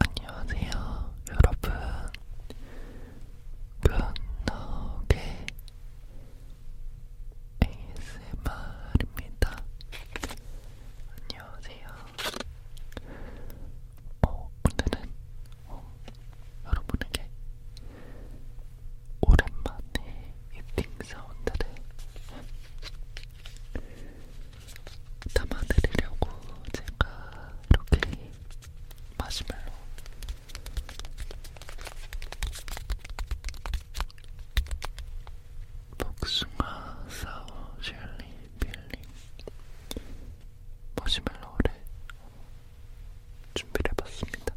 안녕하세요, 여러분. 변덕의 ASMR입니다. 안녕하세요. 어, 오늘은 어, 여러분에게 오랜만에 이팅 사운드를 담아드리려고 제가 이렇게 마시멜로 복숭아 사워 젤리 빌링 마시멜로를 준비를 해봤습니다.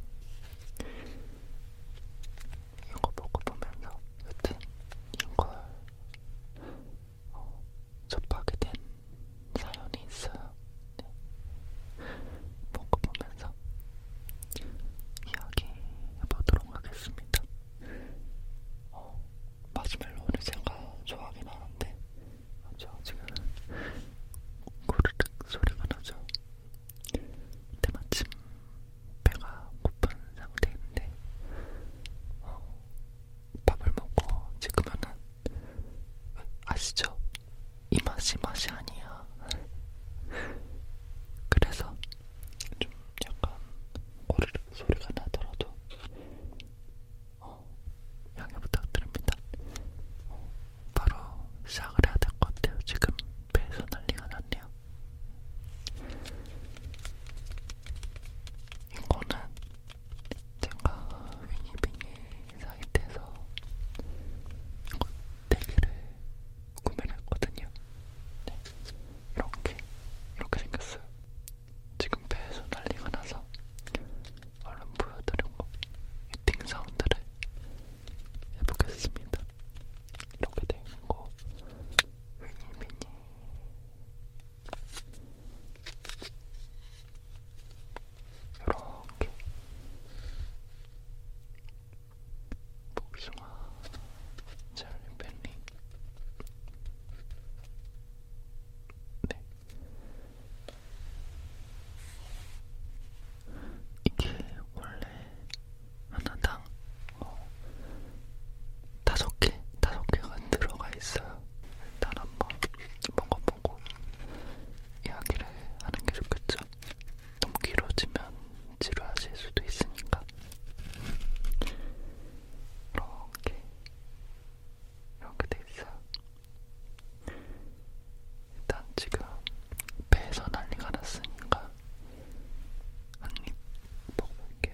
이거 먹어보면서 여튼 이걸 어, 접하게 된 사연이 있어요. 네. 뭔가 보면서 이야기해보도록 하겠습니다. 어, 마시멜로는 제가 좋아하긴 하는데, 맞죠? 그렇죠? 지금 고르륵 소리가 나죠? 근데 마침 배가 고픈 상태인데, 어, 밥을 먹고 지금은 아시죠? 이 맛이 맛이 아니야. 그래서 좀 약간 오르륵 소리가 나더라도 어, 양해 부탁드립니다. 어, 바로 시작을 해야 될 것 같아요. 지금 배에서 난리가 났네요. 이거는 제가 위니빙의 사이트에서 이거 4개를 구매를 했거든요. 네. 이렇게, 이렇게 생겼어요. 지금 배에서 난리가 나서 얼른 보여드리고 이팅 사운드를 해보겠습니다. 이렇게 되어 있는 거, 위니비니 이렇게 복숭아 젤리벨리 네 이게 원래 하나당 어, 다섯 개, 다섯 개가 들어가 있어요. 일단 한번 먹어보고 이야기를 하는 게 좋겠죠. 너무 길어지면 지루하실 수도 있으니까 이렇게 이렇게 돼 있어요. 일단 지금 배에서 난리가 났으니까 한입 먹어볼게요.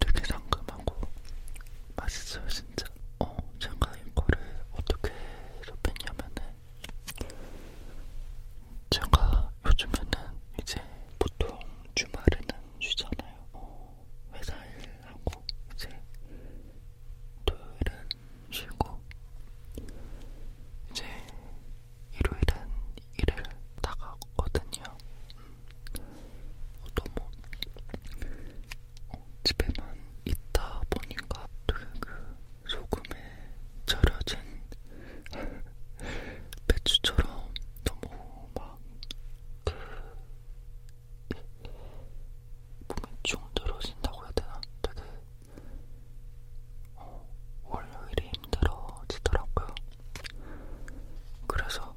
되게 상큼하고 맛있어요 진짜. 어 제가 이거를 어떻게 접했냐면은 제가 요즘에는 이제 보통 주말에는 쉬잖아요. 어, 회사 일하고 이제 토요일은 쉬고 이제 일요일은 일을 나가거든요. 어, 너무 어, 집에만 있다 보니까 되게 그 소금에 절여진 배추처럼 너무 막그 몸이 중들어진다고 해야 되나? 되게 어, 월요일이 힘들어지더라고요. 그래서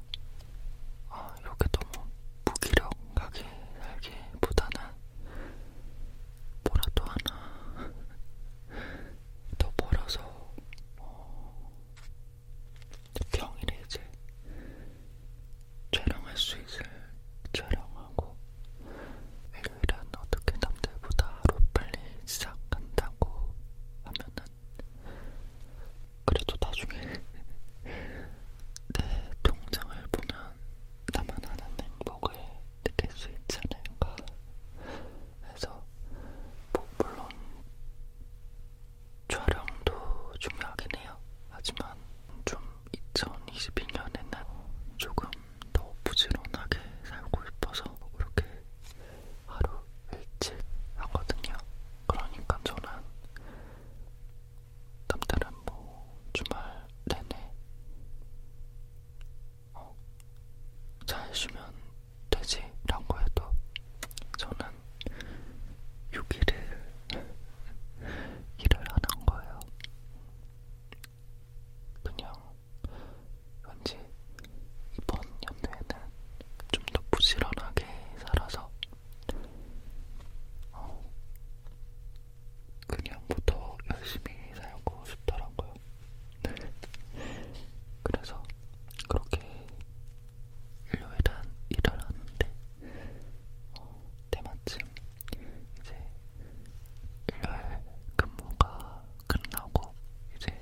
아, 이렇게 너무 무기력하게 살기보다는 뭐라도 하나 더 멀어서 어, 평일에 이제 촬영할 수 있을 촬영하고 일요일은 어떻게 남들보다 하루 빨리 시작한다고 하면은 그래도 나중에 내 통장을 보면 나만 아는 행복을 느낄 수 있지 않을까 해서 뭐 물론 촬영도 중요하긴 해요. 하지만 좀 2022년에는 조금 더 부지런하게 살고 싶어서 이렇게 하루 일찍 하거든요. 그러니까 저는 남들은 뭐 주말 내내 어, 잘 쉬면 되지라고 해도 저는 6일을 일을 안 한 거예요. 그냥 왠지 이번 연도에는 좀 더 부지런하게 살아서 어, 그냥부터 뭐 열심히 살고 싶더라고요. 그래서 그렇게 일요일은 일을 하는데 어, 때마침 이제 일요일 근무가 끝나고 이제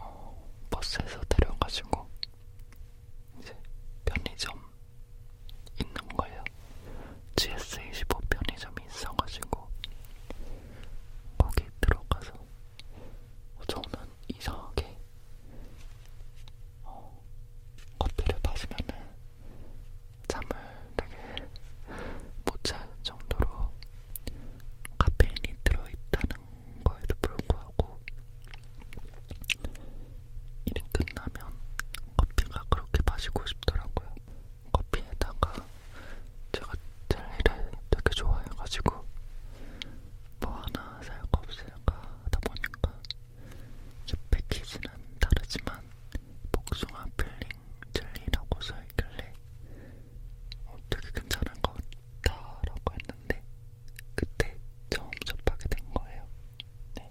어, 버스에서 내려가지고 이제 편의점 있는 거예요. GS25 편의점이 있어가지고 거기 들어가서 저는 이상하게 어, 커피를 마시면은 잠을 되게 못잘 정도로 카페인이 들어있다는 거에도 불구하고 일이 끝나면 커피가 그렇게 마시고 싶더라고요. 커피에다가 제가 젤리를 되게 좋아해가지고 뭐 하나 살 거 없을까 하다 보니까 이 패키지는 다르지만 복숭아 필링 젤리라고 써있길래 어, 되게 괜찮은 것 같다라고 했는데 그때 처음 접하게 된 거예요. 네.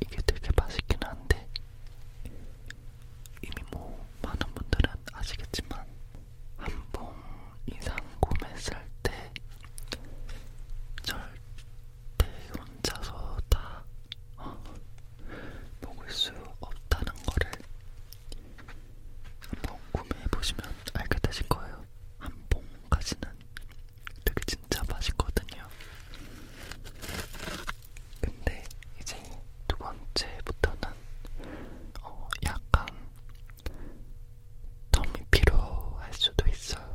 이게 되게 맛있긴 한데 이미 뭐 많은 분들은 아시겠지만 한 봉 이상 구매했을 때 절대 혼자서 다 어, 먹을 수 없다는 거를 한번 구매해보시면 알게 되실 거예요. 한 봉까지는 되게 진짜 맛있거든요. 근데 이제 두 번째부터는 어 약간 덤이 필요할 수도 있어요.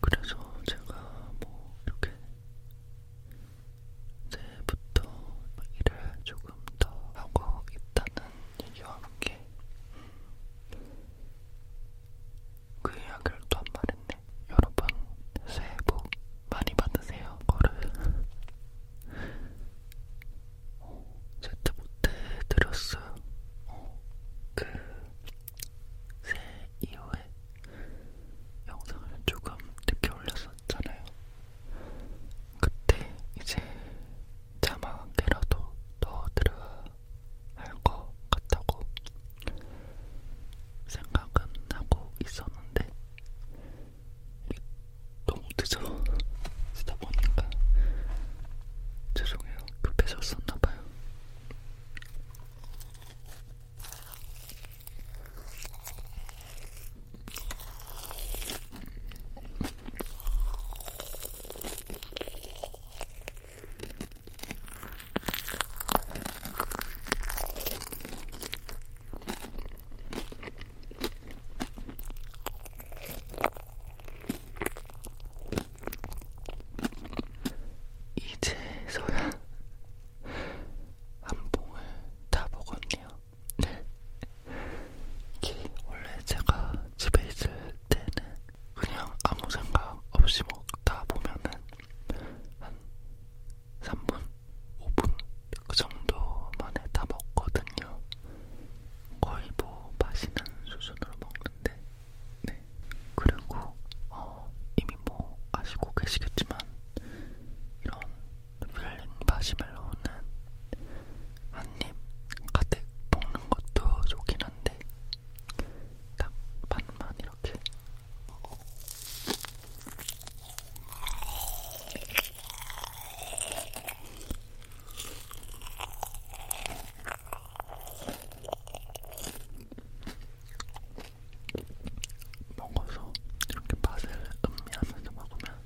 그래서 제가 뭐 이렇게 새해부터 일을 조금 더 하고 있다는 얘기와 함께 그 이야기를 또한 말했네. 여러분 새해 복 많이 받으세요, 거를. 어, 제트 못해드렸어요. 어, 그, 새해 이후에 영상을 조금 늦게 올렸었잖아요. 그때 이제 자막이라도 더 들어야 할것 같다고 생각은 하고 있었는데 너무 늦어 쓰다 보니까 죄송해요 급해졌었나봐요. 이제서야 한 봉을 다 먹었네요. 네. 이게 원래 제가 집에 있을 때는 그냥 아무 생각 없이 먹다 보면은 한 3분, 5분 그 정도만에 다 먹거든요. 거의 뭐 마시는 수준으로 먹는데, 네. 그리고 어, 이미 뭐 아시고 계시겠지만 이런 윌린 마시멜로우는 한입 가득 먹는 것도 좋긴 한데 딱 반만 이렇게. 먹어서 이렇게 맛을 음미하면서 먹으면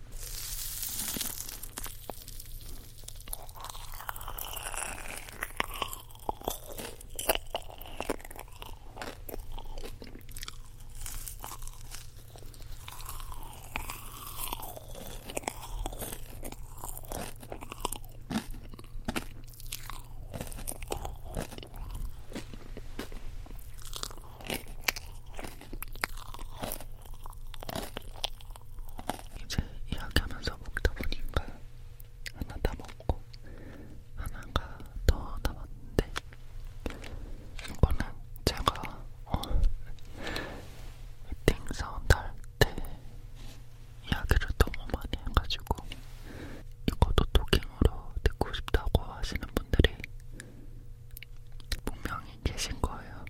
이제 이야기하면서 먹다 보니까 하나 다 먹고 하나가 더 남았는데 이거는 제가 어, 팅 사운드 할때 이야기를 너무 많이 해가지고 이것도 토킹으로 듣고 싶다고 하시는 분들이 분명히 계신 거예요.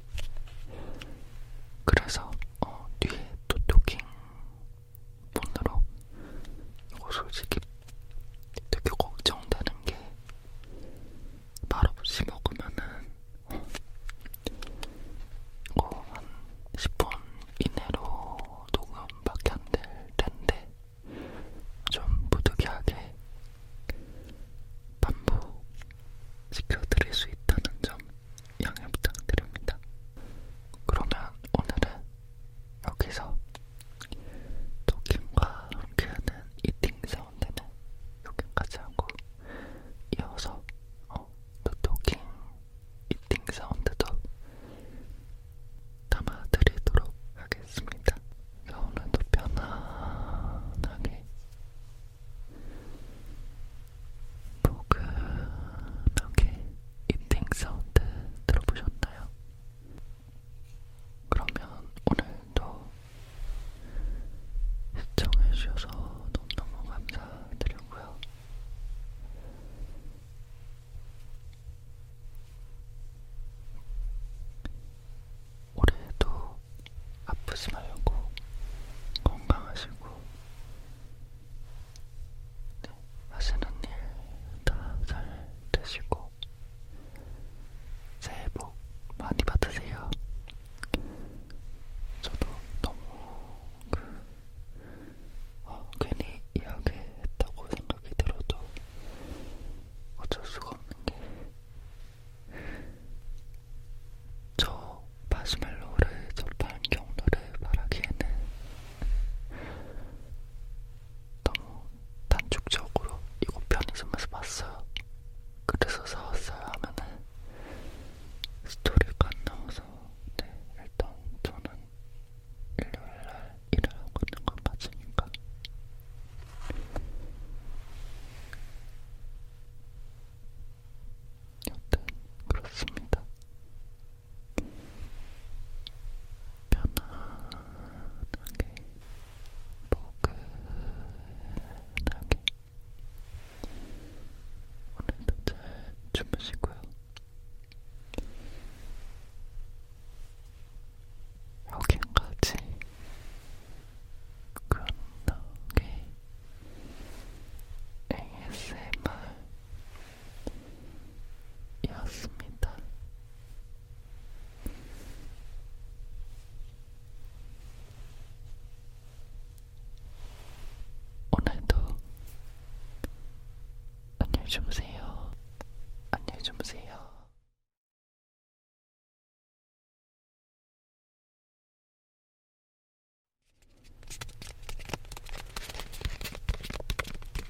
그래서 어, 뒤에 또 토킹 본으로 이거 솔직히 되게 걱정되는 게 말없이 먹으면은 어, 이거 어, 한 10분 이내로 녹음밖에 안 될 텐데 좀 부득이하게 반복 시켜드릴 수 있다는 점 양해 부탁드립니다. 그러면 오늘은 여기서 토킹과 함께하는 이팅 사운드는 여기까지 하고 이어서 어, 토킹, 이팅 사운드도 담아드리도록 하겠습니다. 오늘도 편안하게 포근하게 이팅 사운드 들어보셨나요? 그러면 오늘도 시청해주셔서 너무너무 감사드리고요. 올해도 아프지 말고 건강하시고 네, 하시는 일 다 잘 되시고 새해 복 많이 받으세요. 저도 너무 그 어, 괜히 이야기했다고 생각이 들어도 어쩔 수가 없는 게 저 마시멜로를 접한 경로를 말하기에는 너무 단축적으로 이거 편의점에서 봤어요. 그래서 사왔어요 하면은 스토리가 안 나와서 네 일단 저는 일요일날 일을 하고 있는 건 맞으니까 여튼 그렇습니다. 편안하게 포근하게 오늘도 잘 주무시고요. 여기까지 끝나게 ASMR 였습니다. 오늘도 안녕히 주무세요. 안녕히 주무세요.